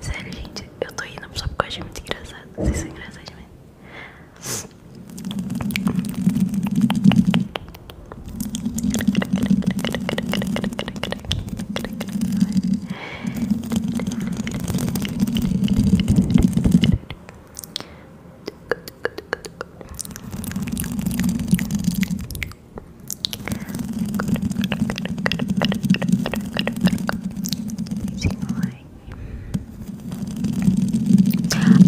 Sério, gente, eu tô indo só porque eu achei muito engraçado. Vocês são engraçados mesmo.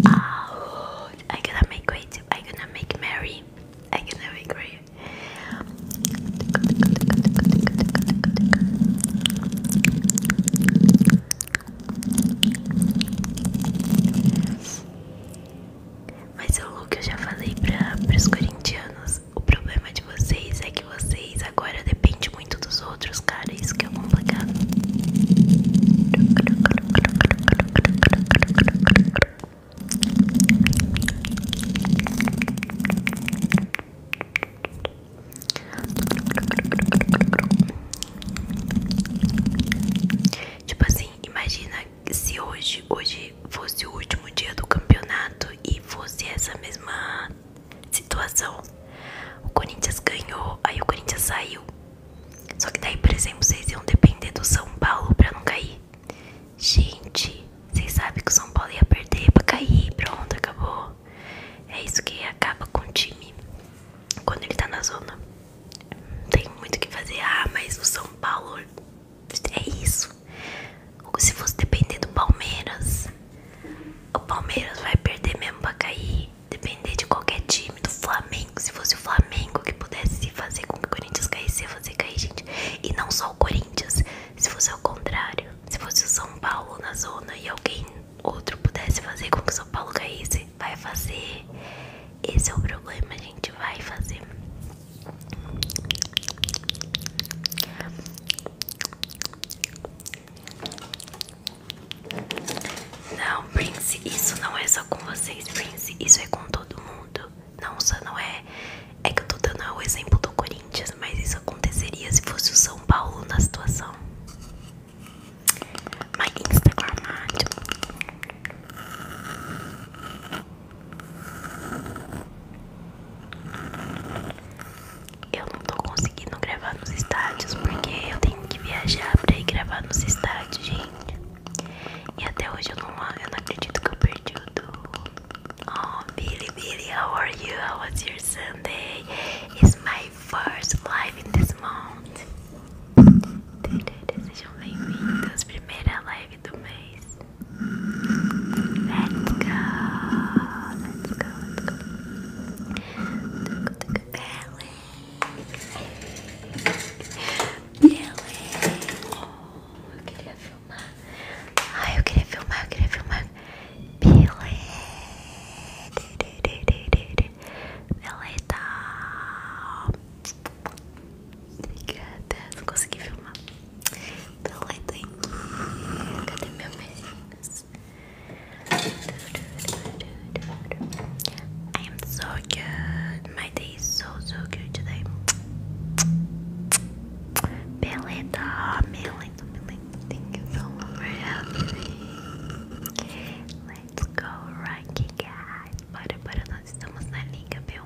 Oh, I gonna make great. I gonna make Mary. I gonna make Mary. Mas é o que eu já falei para os corintianos. O problema de vocês é que vocês agora dependem muito dos outros, cara. Isso que é complicado. Tipo assim, imagina se hoje, hoje fosse o último dia do campeonato e fosse essa mesma situação, o Corinthians ganhou, aí o Corinthians saiu. Só que daí, por exemplo, vocês iam depender do São Paulo pra não cair. Gente, vocês sabem que o São Paulo ia perder pra cair, pronto, acabou. É isso que acaba com o time quando ele tá na zona. tem muito o que fazer. Ah, mas o São Paulo é isso isso. Se fosse depender do Palmeiras, o Palmeiras vai perder mesmo pra cair. Depender de qualquer time, do Flamengo. Se fosse o Flamengo que pudesse fazer com que o Corinthians caísse, ia fazer cair, gente. E não só o Corinthians. Se fosse o contrário, se fosse o São Paulo na zona e alguém outro pudesse fazer com que o São Paulo caísse, vai fazer. Esse é o problema, gente. Vai fazer. Não, Prince, isso não é só com vocês, Prince. Isso é com todo mundo. Não, só não é. É que eu tô dando o exemplo do Corinthians, mas isso aconteceria se fosse o São Paulo na situação. My Instagram. Eu não tô conseguindo gravar nos estádios porque eu tenho que viajar pra ir gravar nos estádios, gente. E até hoje eu não, acredito que eu perdi o do. Oh, Billy, Billy, how are you? How was your Sunday? It's my first live in this month. Sejam bem-vindos, primeira live do mês. Let's go. Let's go. Let's go. Let's go Billy. Billy. Oh, eu queria filmar. Ai, eu queria filmar, eu queria filmar. Billy. Billy tá. I am so good. My day is so, so good today. Beleta, Melita, Melita, thank you so much Let's go, Rocky guys. Bora, bora, nós estamos na liga b um.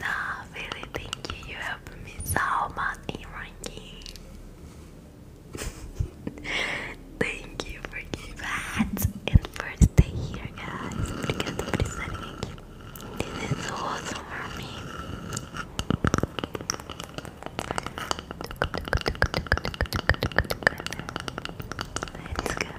Nah, really, thank you. You helped me so much in ranking. thank you for giving that and first day here, guys. Obrigada por estarem aqui. This is awesome for me. Let's go.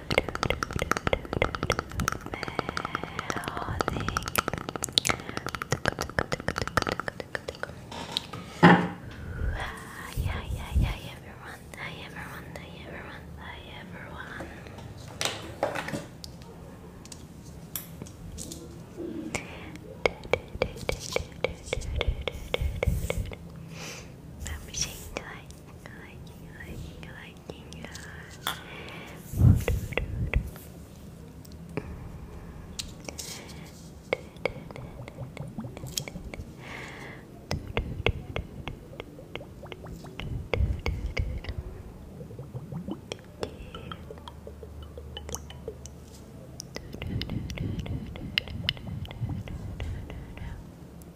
Yeah, yeah, yeah, everyone. Hi, everyone. Hi, everyone. Hi, everyone. Let me change like, like, like, like, working at. Thank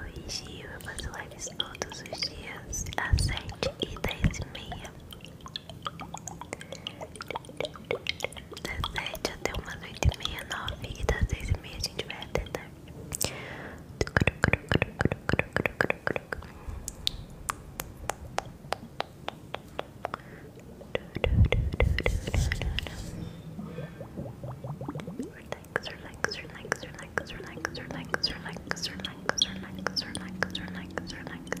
Oi Gil, eu fazer lives todos os dias às sete e dez e meia Das sete até umas 8 e meia, nove e das 10 e meia a gente vai até tarde Oi Relax, relax, relax, relax, relax, relax, relax, relax, relax, relax, relax, relax, relax, relax. Night.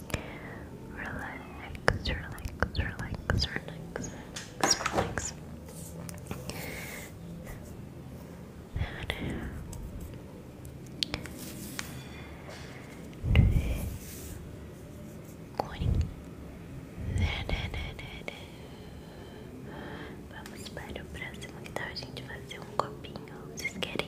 Relax, relax, relax, relax, relax, relax. Vamos para o próximo que tal tá a gente fazer um copinho. Vocês querem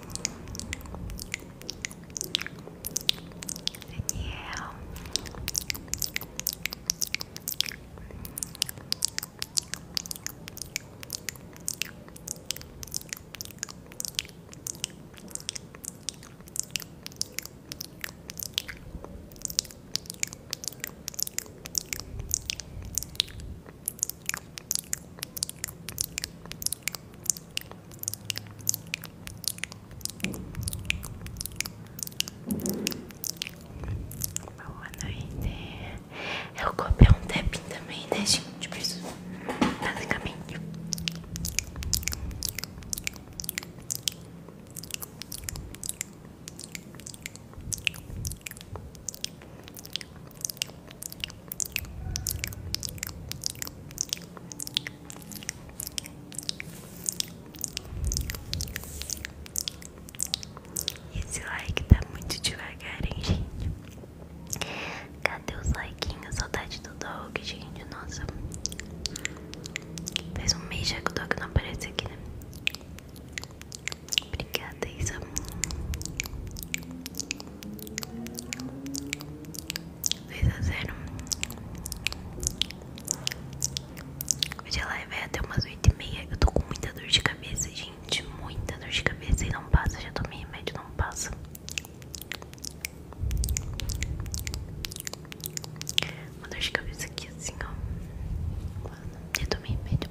And yeah. Boa noite. Eu copiei um tapping também, né, gente? Preciso, caminho esse like tá muito devagar, hein, gente? Cadê os likeinhos? Saudade do dog, gente. Nossa, faz um mês já que o dog não aparece aqui, né? Obrigada, Isa. 2 a 0 Hoje a live é até umas 8 e meia Eu tô com muita dor de cabeça, gente Muita dor de cabeça e não passa Já tomei remédio, não passa Uma dor de cabeça aqui assim, ó já tomei remédio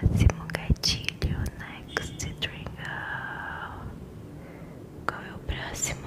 Próximo gatilho, next trigger. Qual é o próximo?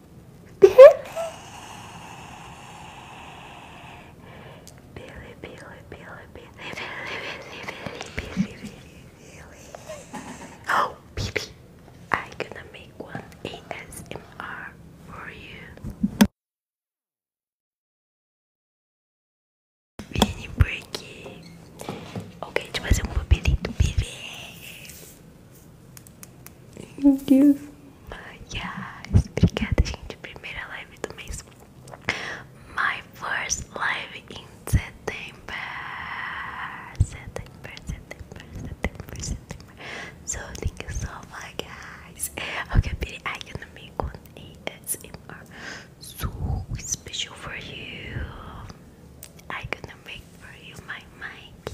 Billy, Billy, Billy, Billy, Billy, Billy, Billy, Billy. Oh, baby, i gonna make one ASMR for you. Mini breaking. Ok, deixa fazer um papelito, bebê. Yes. Obrigada, gente. Primeira live do mês. My first live in September. September, September, September, September. So thank you so much, guys. Okay, I'm gonna make one ASMR so special for you. I'm gonna make for you my mic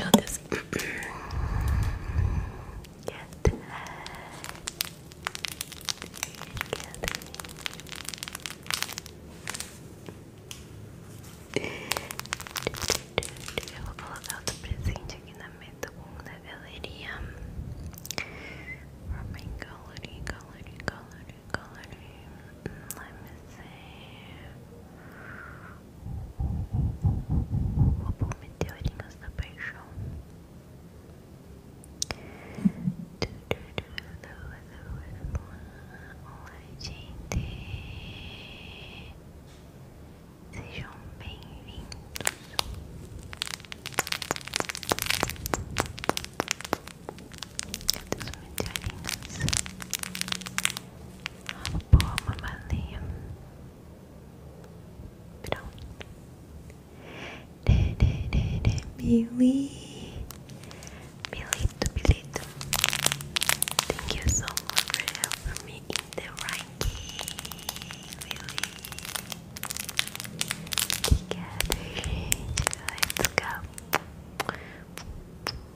Feel do Get Eu vou colocar outro presente aqui na minha segunda galeria. For my gallery, gallery, gallery color name. Let me see. O Meteorinhos da Paixão. Do, do, do, do, do, do. Olá, bem-vindos. Thanks for joining us. Have a boa mamalia. Pronto. De, de, de, de, Billy. Bilito, Bilito. Thank you so much for helping me in the ranking, Billy. Obrigada, Let's go.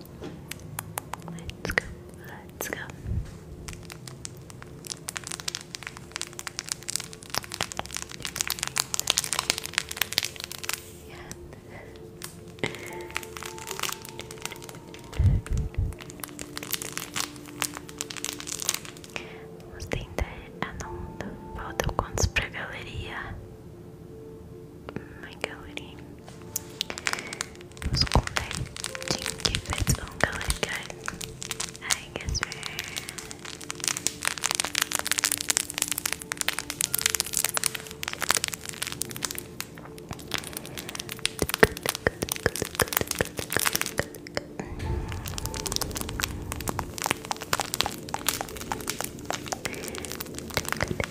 Let's go, let's go. Yeah. Vamos tentar. Ah, não. Faltam quantos pra galeria? Microating Skolay çünkü bet ungalırken herkes ver Good, good,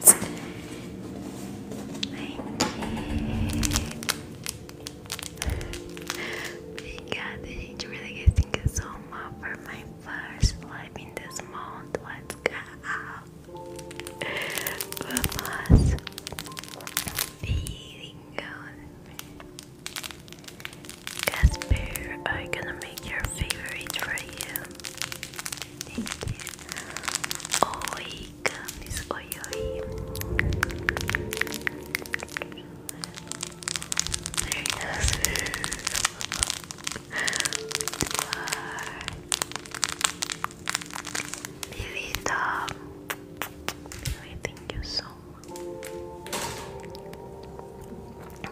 Yes. Thank you. Thank God, gente. Really guys, thank you so much for my first live in this month. Let's go. Vamos. Bingo. Casper, I'm gonna make your favorite for you. Thank you. Oi, Camis. Oi, oi. Very nice. Lilita. Thank you so much.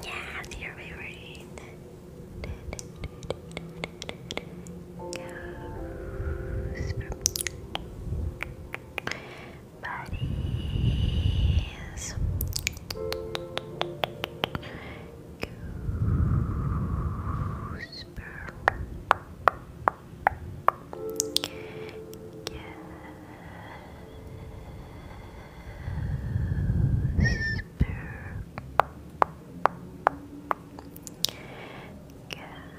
Yes, you're favorite goes from whisper. Gasper.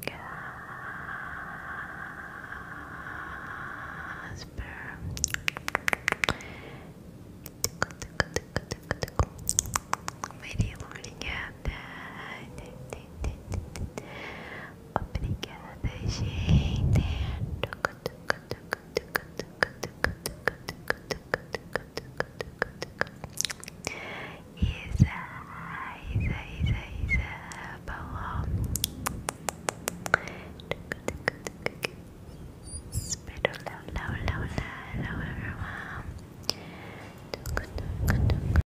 Gasper. Maria Lourinha. Obrigada, gente. Isa, Isa, Isa, Isa, Paula. Pero hola, hola, hola, hola, hola,